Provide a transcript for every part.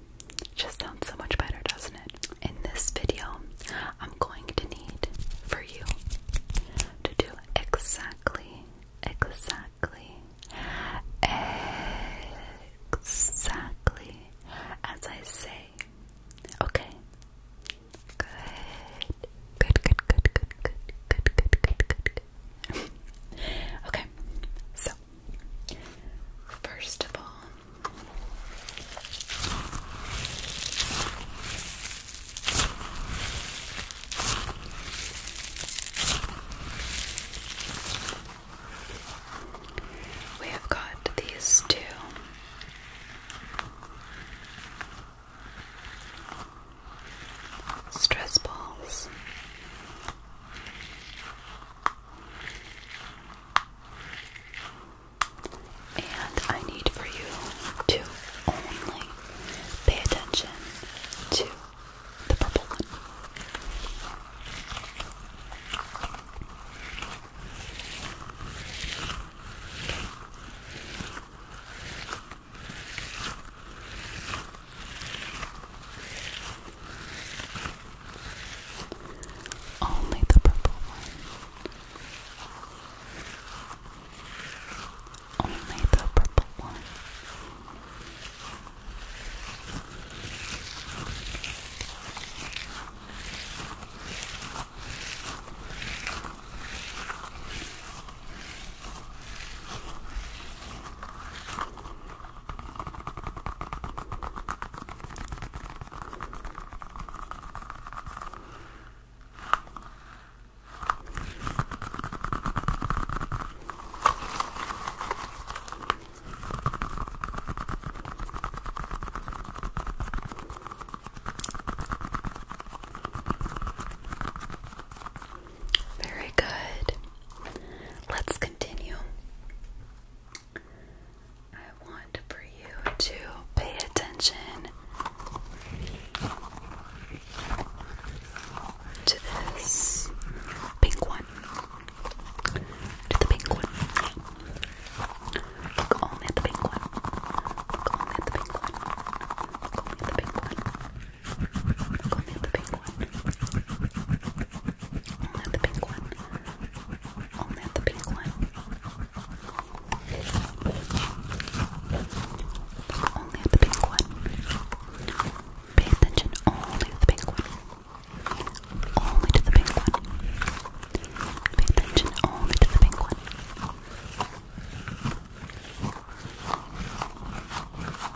it just sounds so much better, doesn't it? In this video, I'm going to need for you to do exactly, exactly, exactly as I say. Okay. Good. Good, good, good, good, good, good, good, good, good, good. okay. So, first of all, we have got these two. Stress balls. And I need for you to only pay attention to the purple one. Only the purple one. Only the purple one. Very good. Let's continue. I want for you to pay attention to this pink one. To the pink one. Look only at the pink one. Look only at the pink one. Look only at the pink one. Look only at the pink only the pink one. Only the pink one. Only the pink one. Pay attention only the pink one. Only the pink one. Pay attention only to the pink one.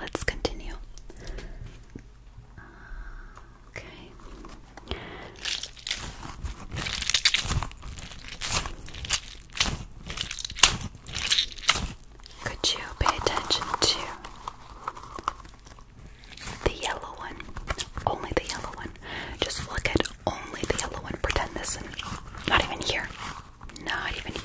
Let's continue. okay. Could you pay attention to the yellow one? Only the yellow one. Just look at only the yellow one. Pretend this is not even here. Not even here.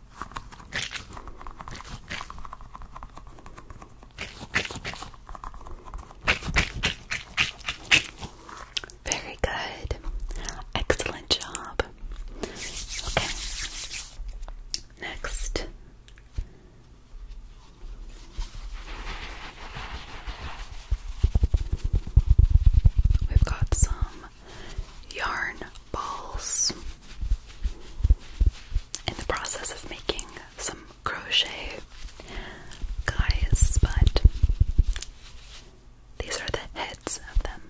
Very good. Excellent job. Okay. Next. We've got some yarn balls in the process of making some crochet guys, but these are the heads of them.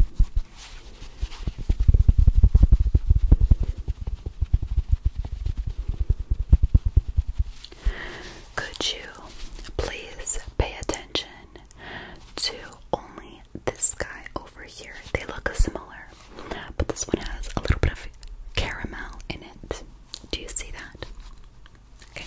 Could you please pay attention to only this guy over here. They look similar, but this one has a little bit of caramel in it. Do you see that? Okay.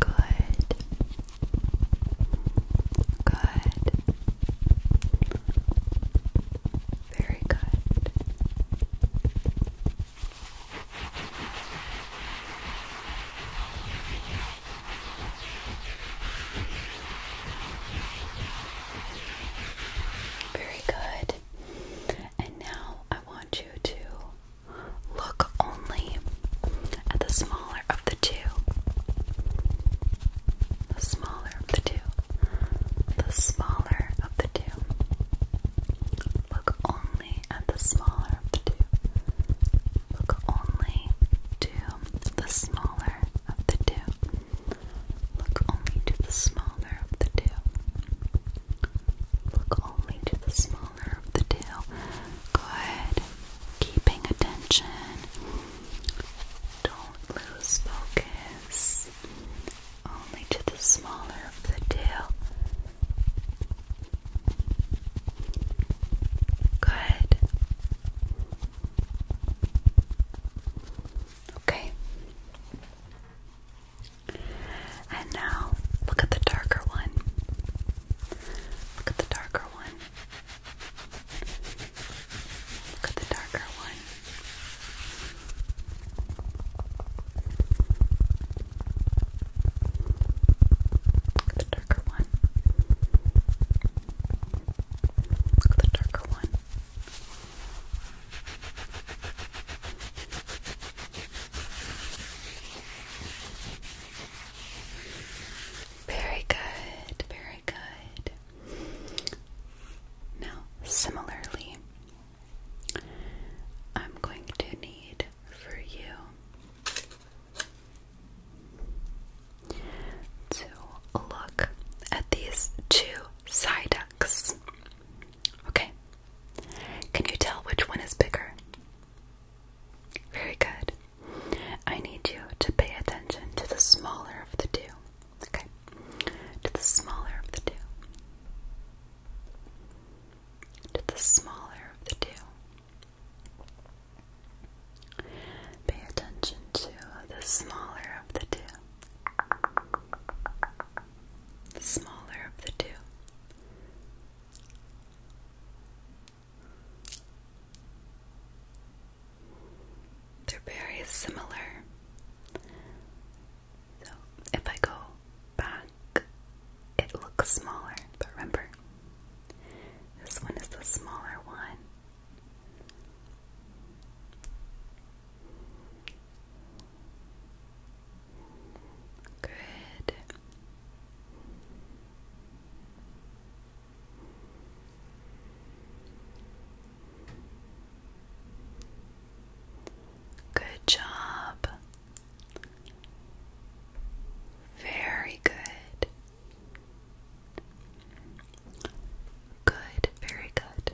Good. Good. Very good. Very good. And now I want you to Look only at the smaller of the two. The smaller of the two. The smaller of the two. Look only at the smaller of the two. Look only to the smaller of the two. Look only to the smaller of the two. Look only to the smaller of the tail. Good. Keeping attention. Don't lose focus. Only to the smaller of the tail. Good. Okay. And now, look at the darker one. Look at the darker one. Look at the darker one. Look at the darker one. Look at the darker one. Very good, very good. Now, similarly, I'm going to need for you to look at these two side ducks. Okay. Can you tell which one is bigger? Very good. I need you to pay attention to the smaller of the two. Okay. To the smaller of the two. To the smaller of the two. Pay attention to the smaller of the two. The smaller of the two. They're very similar. So if I go back, it looks smaller, but remember, this one is the smaller one. Good. Good job. Very good. Good, very good.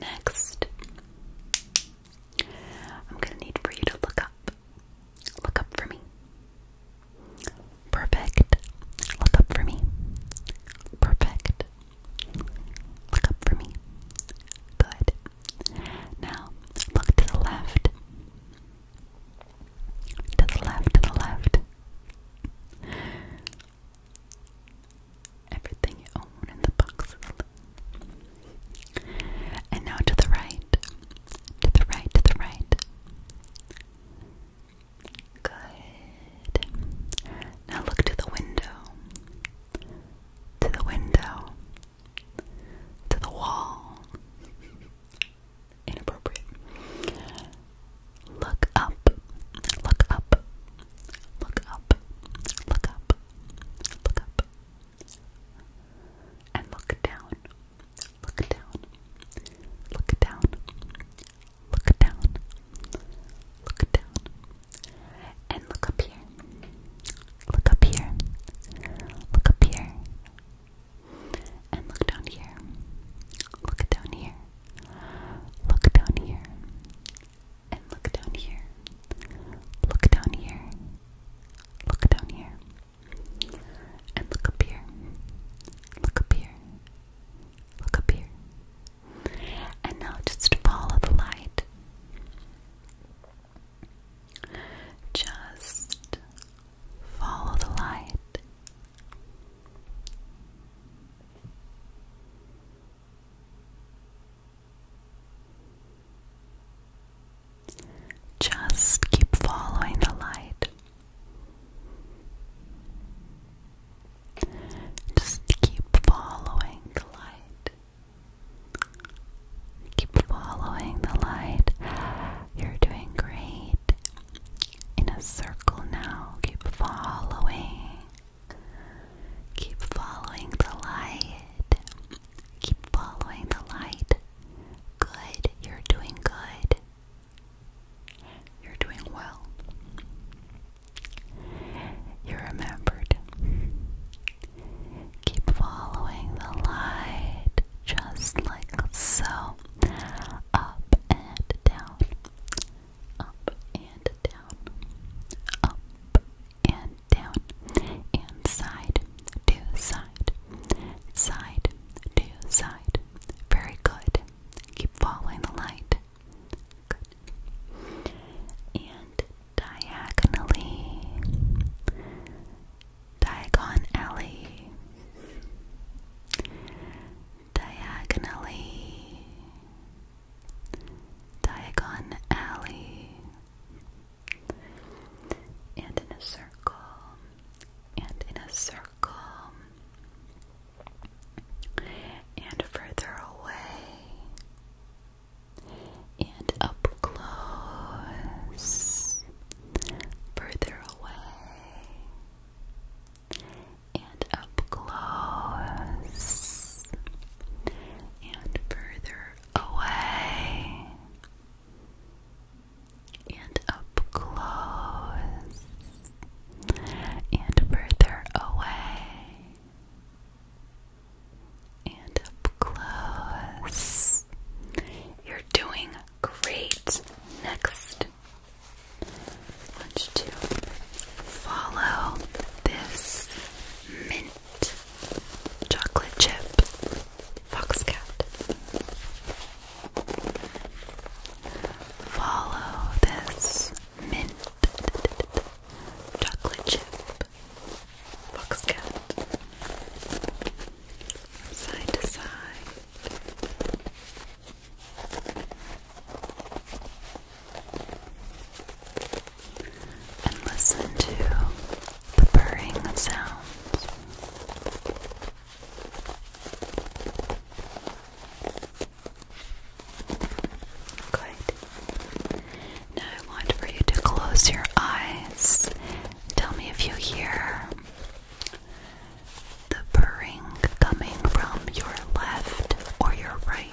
Next, I'm going to need for you to look up. Look up for me. Perfect. Look up for me. Perfect. Look up for me. Good. Now, look to the left. To the left, to the left. Everything you own in the box And now to the right. To the right, to the right. Good. Now look to the window. To the window. To the wall. Inappropriate. Look up, look up, look up, look up, look up, and look down, look down, look down, look down, look down, and look up here, look up here, look up here, and look down here, look down here. Look down here, and look down here. Look down here. Look down here. And look up here. Look up here. Look up here. And now just follow the light. Just follow the light. Just keep following the light. Just keep following the light. Keep following the light. You're doing great. In a circle now. Keep following Keep following the light. Keep following the light. Good. You're doing good. You're doing well. You're remembered. Keep following the light just like so. Up and down up and down, up and down, and side to side, side to side. Very good. Keep following the light. Good. And diagonally, diagon diagonally. Diagon Alley, and in a circle, and in a circle, and further away, and up close, further away and up close and further away and up close and further away and up close. You're doing great. Next, want you to follow this mint chocolate chip fox cat? Follow this mint chocolate chip fox cat Side to side and listen to purring sounds. Good. Now I want for you to close your eyes. Tell me if you hear the purring coming from your left or your right.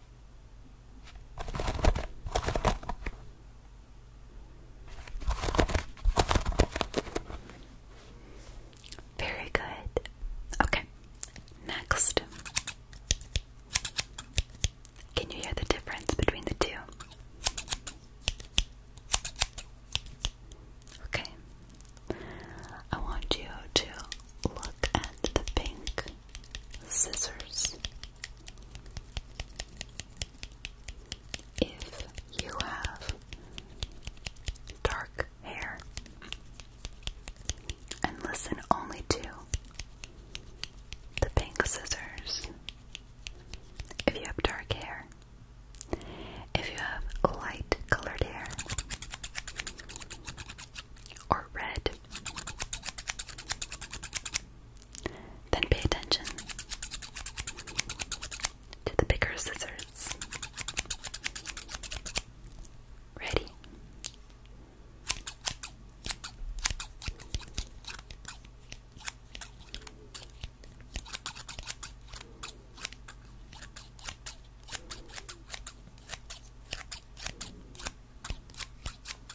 Very good. Okay, next. Can you hear the difference between the two? Okay, I want you to look at the pink scissors if you have dark hair, and listen only to the pink scissors. If you have dark hair, if you have light colored hair, or red, then pay attention to the bigger scissors. Ready?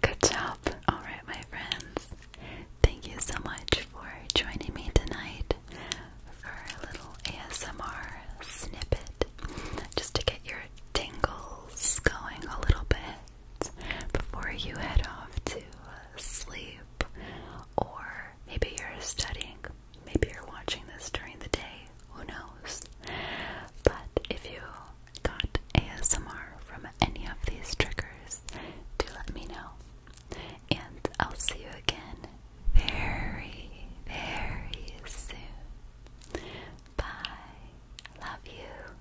Good job. All right, my friends. Thank you so much for joining me tonight for a little ASMR snippet just to get your tingles going a little bit before you head off to sleep or maybe you're studying, maybe you're watching this during the day, who knows. But if you got ASMR from any of these triggers, do let me know. And I'll see you again very, very soon. Bye. Love you.